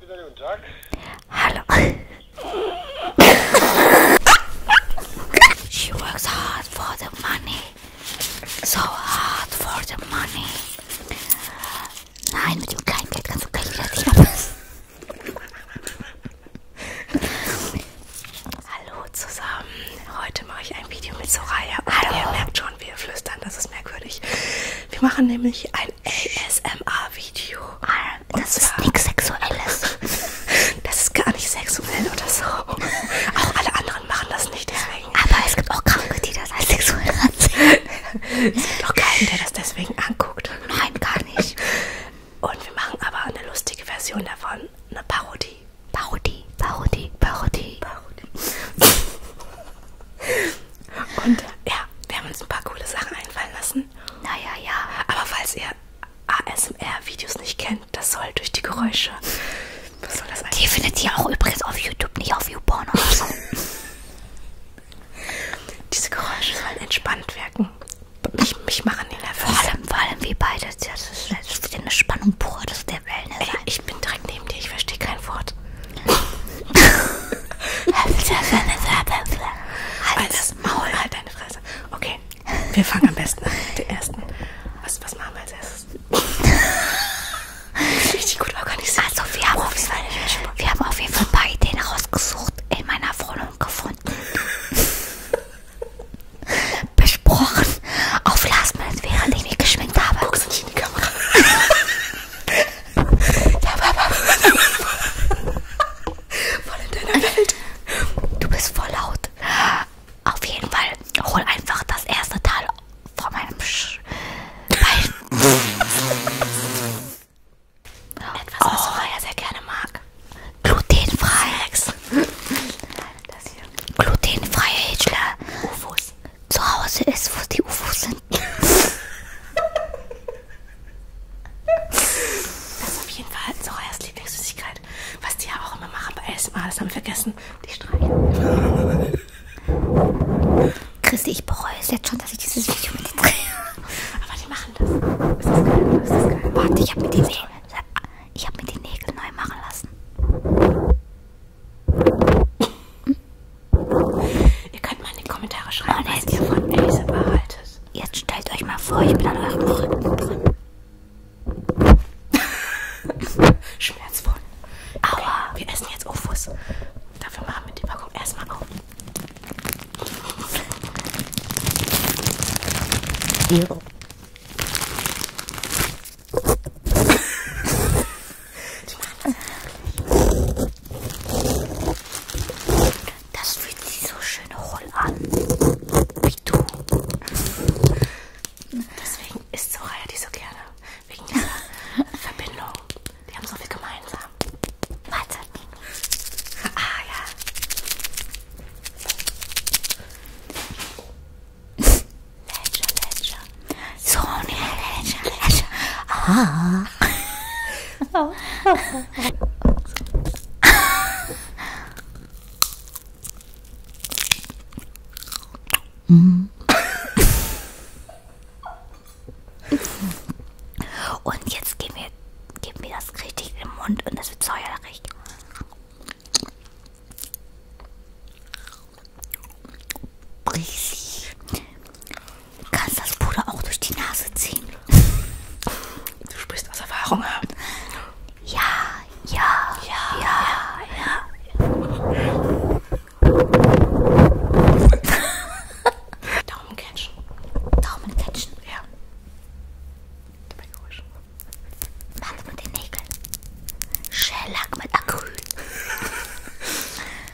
Guten Tag. Hallo. She works hard for the money. So hard for the money. Nein, mit dem kleinen Geld kannst du gleich wieder Diener Hallo zusammen. Heute mache ich ein Video mit Soraya. Hallo. Ihr merkt schon, wir flüstern, das ist merkwürdig. Wir machen nämlich ein ein ASMR-Video. Ah, das ist nichts Sexuelles. Das ist gar nicht sexuell oder so. Auch alle anderen machen das nicht, deswegen. Aber es gibt auch Kranke, die das als sexuell ansehen. Es gibt auch keinen, der das deswegen anguckt. Nein, gar nicht. Und wir machen aber eine lustige Version davon. Eine Parodie. Parodie, Parodie, Parodie. Parodie. Und ja, wir haben uns ein paar coole Sachen einfallen lassen. Naja, ja. Aber falls ihr ASMR-Videos nicht kennt, das soll durch die Geräusche. Was soll das eigentlich? Die findet ihr auch übrigens auf YouTube, nicht auf YouPorn oder so. Diese Geräusche sollen entspannt wirken. Mich, mich machen die nervös. Vor allem, vor allem wie beide. Das ist, das ist eine Spannung pur, das ist der Wellness. Ey, ich bin direkt neben dir, ich verstehe kein Wort. Alles Maul, halt deine Fresse. Okay, wir fangen am besten an mit den ersten. Was, was machen wir als erstes? Richtig gut organisiert. Also, wir haben, oh, auf, jeden, wir haben auf jeden Fall ein paar Ideen rausgesucht, in meiner Wohnung gefunden. Besprochen, auf Last Minute, während ich mich geschminkt habe. Guckst nicht in die Kamera. Ja, Papa. voll in deiner Welt. Du bist voll laut. Auf jeden Fall, hol einfach das erste Teil von meinem Sch Bein. Etwas, was oh. Raya sehr gerne mag. Glutenfrei. Das hier. Glutenfreie Hitler. Ufos. Zu Hause ist, wo die Ufos sind, das ist auf jeden Fall Sorayas Lieblingssüßigkeit. Was die ja auch immer machen bei ASMR, ah, das haben wir vergessen. Die streichen. Christi, ich bereue es jetzt schon, dass ich dieses Video mit dir drehe. Aber die machen das. Ist das geil? Ist das geil? Warte, ich habe mir die Nägel. Ich habe mir die Nägel neu machen lassen. Ihr könnt mal in die Kommentare schreiben, und was ihr von Ace behaltet. Jetzt stellt euch mal vor, ich bin an eurem Rücken drin. Schmerzvoll. Aua. Okay, wir essen jetzt Ofus. Dafür machen wir die Packung erstmal auf. Ja. Das fühlt sich so schön hohl an. Wie du. Deswegen isst Soraya die so gerne. Wegen dieser Verbindung. Die haben so viel gemeinsam. Warte. Ah ja. Ledger, Ledger. Sonia, Ledger, Ledger. Ah. Und jetzt geben wir, geben wir das richtig in den Mund und es wird säuerlich. Riesig. Du kannst das Puder auch durch die Nase ziehen. Du sprichst aus Erfahrung. Ne? Ja, ja, ja, ja, ja. Daumen catchen. Daumen catchen? Ja. Dabei Geräusch. Warte mit den Nägeln. Schellack mit Acryl.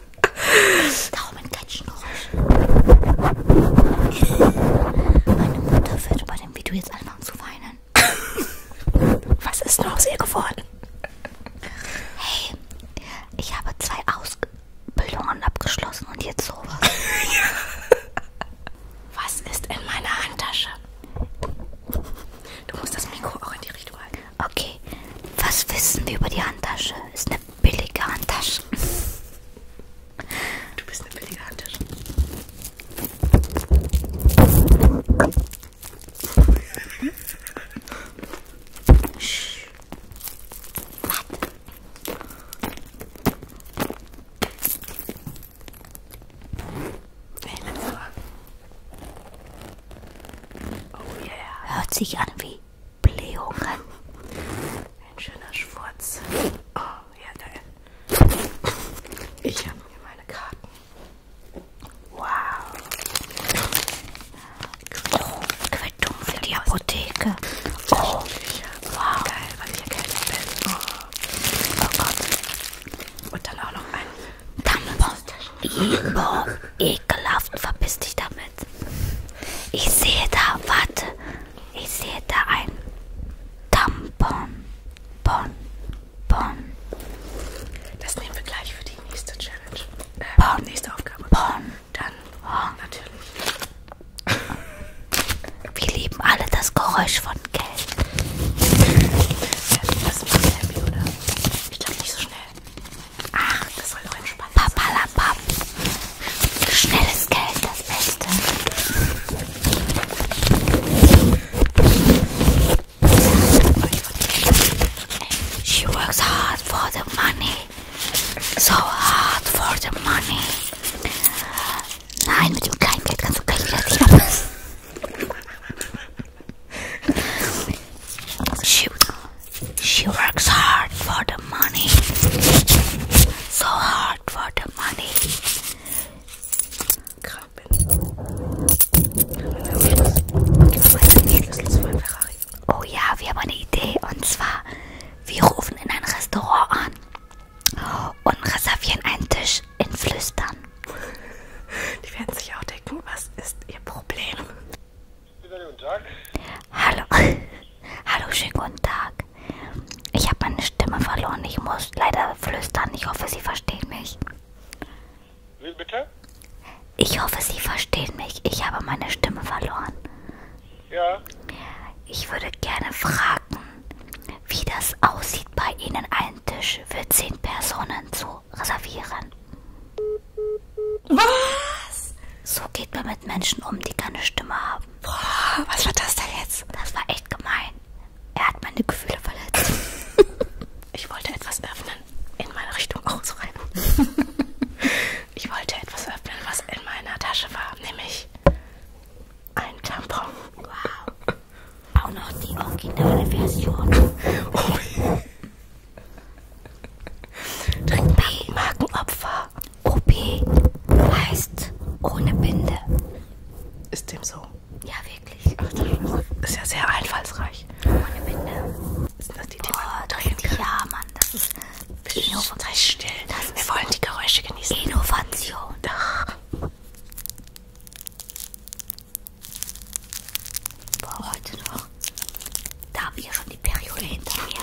Darum ein Katschengeräusch. Meine Mutter wird bei dem Video jetzt anfangen zu weinen. Was ist nur aus ihr geworden? Hey, ich habe zwei Ausbildungen abgeschlossen und jetzt sowas. Was ist in meiner Handtasche? Du musst das Mikro auch in die Richtung halten. Okay, was wissen wir über die Handtasche? Ist eine billige Handtasche. Du bist eine billige Handtasche. Warte. Hey, langsam. Oh yeah. Hört sich an wie Blähungen. Ein schöner Schwurz. Oh, ja geil. Ich habe hier meine Karten. Wow. Oh, Quittung für die Apotheke. Oh, wow. Geil, weil ich erkältet bin. Oh. oh Gott. Und dann auch noch ein Tampon. Ekelhaft. Verpiss dich damit damit. Ich sehe da, warte, ich sehe da ein Tampon. Bon, bon. Das nehmen wir gleich für die nächste Challenge. Äh, bon. Nächste Aufgabe. Bon. Dann bon. Oh. natürlich. Wir lieben alle das Geräusch von Geld. Ja, das ist happy, oder? Ich glaube nicht so schnell. Ach, das soll doch entspannen. Papalapap. Schnelles Geld, das Beste. She works hard for the money. So hard for the money. Nein, mit dem Kleingeld kannst du gleich wieder ziehen. She, She works hard for the money. So hard for the money. Oh ja, wir haben eine Idee. Und zwar, wir rufen in ein Restaurant an und reservieren einen Tisch in Flüstern. Die werden sich auch denken, was ist ihr Problem? Guten Tag. Hallo. Hallo, schönen guten Tag. Ich habe meine Stimme verloren. Ich muss leider flüstern. Ich hoffe, Sie verstehen mich. Wie bitte? Ich hoffe, Sie verstehen mich. Ich habe meine Stimme verloren. Ja. Ich würde gerne fragen, wie das aussieht, bei Ihnen einen Tisch für zehn Personen zu reservieren. Was? So geht man mit Menschen um, die keine Stimme haben. Boah, was war das denn jetzt? Das war echt gemein. Er hat meine Gefühle verletzt. ich wollte etwas öffnen. In meine Richtung auch so rein. ich wollte etwas öffnen, was in meiner Tasche war, nämlich ein Tampon. Wow. Auch noch die originale Version. Oh. OP, Markenopfer. OP heißt ohne Binde. Ist dem so? Ja, wirklich. Ach, das ist ja sehr einfallsreich. Ohne Binde. Sind das die, die Boah, man drehen kann? Ja, Mann, das ist Innovation. Sei still. Das Wir wollen die Geräusche genießen. Innovation. Ach. Boah, heute noch doch. Da haben wir schon die Periode hinter mir.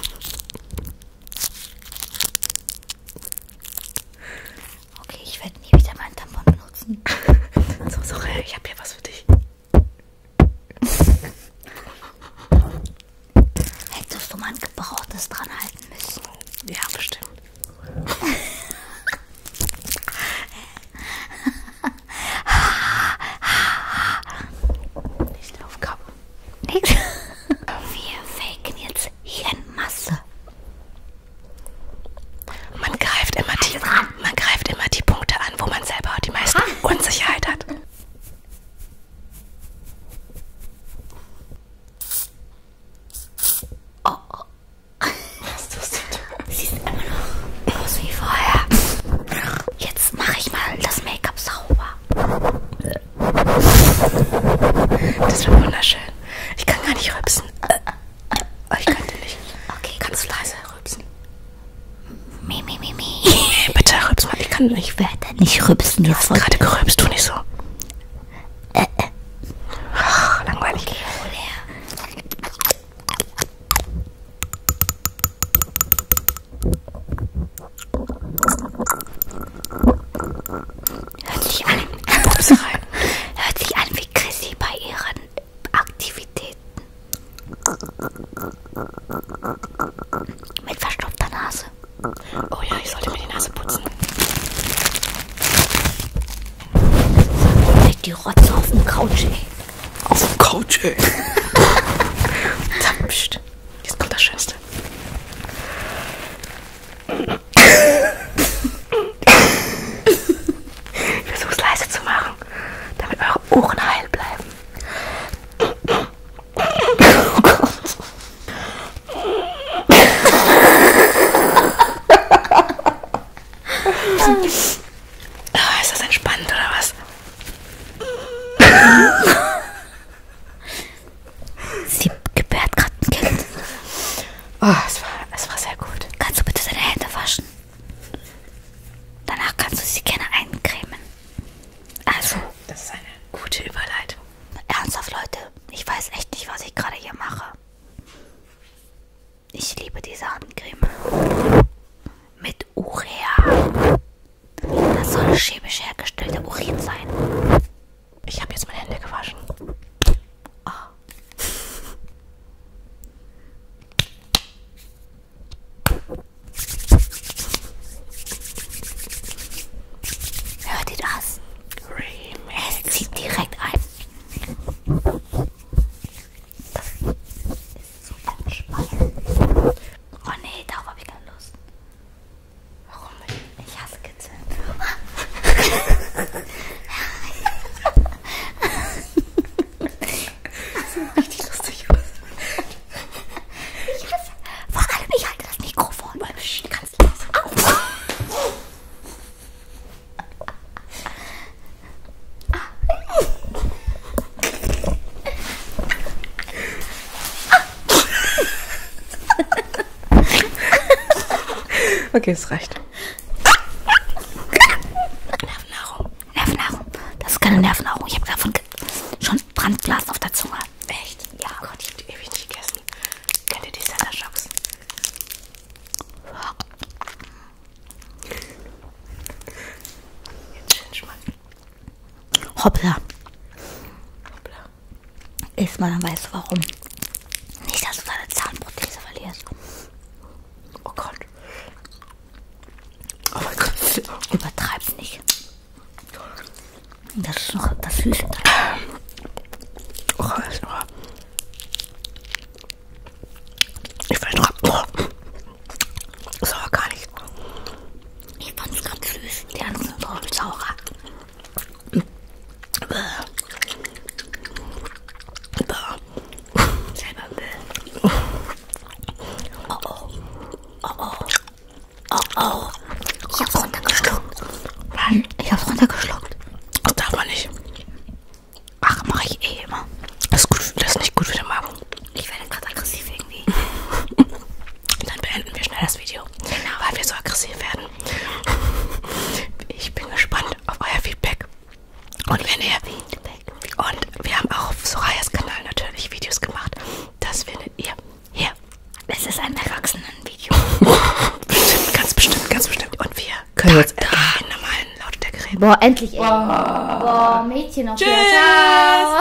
Okay, ich werde nie wieder meinen Tampon benutzen. so, so, ich habe hier was für dich. Hättest du mal ein gebrauchtes dran halten müssen? Ja, bestimmt. Nicht auf Kappe. Nix. Wir faken jetzt Hirnmasse. Man greift immer die, man greift immer die Punkte an, wo man selber die meiste Unsicherheit hat. Oh, oh. Was tust du da? Sieht immer noch aus wie vorher. Jetzt mache ich mal das Make-up sauber. Das war wunderschön. Ich kann gar nicht rübsen. Äh, äh, ich könnte nicht. Okay, Kannst du leise rübsen? Mi, mi, mi, mi. Bitte rübs mal, ich kann nicht. Ich werde nicht rübsen. Du hast gerade gerübst, tu nicht so. Äh, äh. Ach, langweilig. Okay, hol her. Hört sich an, hört sich an wie Chrissy bei ihren Aktivitäten. Mit verstopfter Nase. Oh ja, ich sollte mir die Nase putzen. Leg die Rotze auf dem Couch, ey. Auf dem Couch, ey. Tapscht. Jetzt kommt das Schönste. Ich versuche es leise zu machen, damit eure Ohren heil bleiben. Oh ah, Gott. Ist das entspannend oder was? Sie gebärt gerade ein Kind. Oh, es war, es war sehr gut. Kannst du bitte deine Hände waschen? Danach kannst du sie gerne eincremen. Also. Das ist eine gute Überleitung. Ernsthaft, Leute. Ich weiß echt nicht, was ich gerade hier mache. Ich liebe diese Handcreme mit Urea. Das soll chemisch hergestellter Urin sein. Ich habe jetzt meine Hände gewaschen. Oh. Hört ihr das? Es zieht direkt ein. Das so entspannen. Oh nee, darauf habe ich keine Lust. Warum? Ich hasse Kitzeln. das sieht richtig lustig aus. Ich hasse. Vor allem, ich halte das Mikrofon beim Sch ganz leise auf. Okay, es reicht. Nervennahrung. Nervennahrung. Das ist keine Nervennahrung. Ich habe davon schon Brandblasen auf der Zunge. Echt? Ja. Oh Gott, ich habe die ewig nicht gegessen. Kennt ihr die Center Shocks? Jetzt schön schmecken. Hoppla. Hoppla. Erstmal, dann weißt du warum. Nicht, dass du deine Zahnprothese verlierst. Oh Gott. Oh mein Gott. Übertreib's nicht. Das ist noch das Süße dran. Oh, ist noch. Ich weiß noch. Oh. Sauer gar nicht. Ich fand es ganz süß. Die anderen sind voll sauer. Selber Müll. Oh oh. Oh oh. Oh oh. Ich hab's runtergeschluckt. Mann, ich hab's runtergeschluckt. Das darf man nicht. Ach, mache ich eh immer. Das ist, gut, das ist nicht gut für den Magen. Ich werde gerade aggressiv irgendwie. Dann beenden wir schnell das Video, genau. weil wir so aggressiv werden. Ich bin gespannt auf euer Feedback. Und wenn ihr... Und wir haben auch auf Sorayas Kanal natürlich Videos gemacht. Das findet ihr hier. Es ist ein Erwachsenen-Video. bestimmt, ganz bestimmt, ganz bestimmt. Und wir können da, jetzt da. endlich in normalen Lautstärke reden. Boah, endlich. Boah, Boah Mädchen auf Tschüss.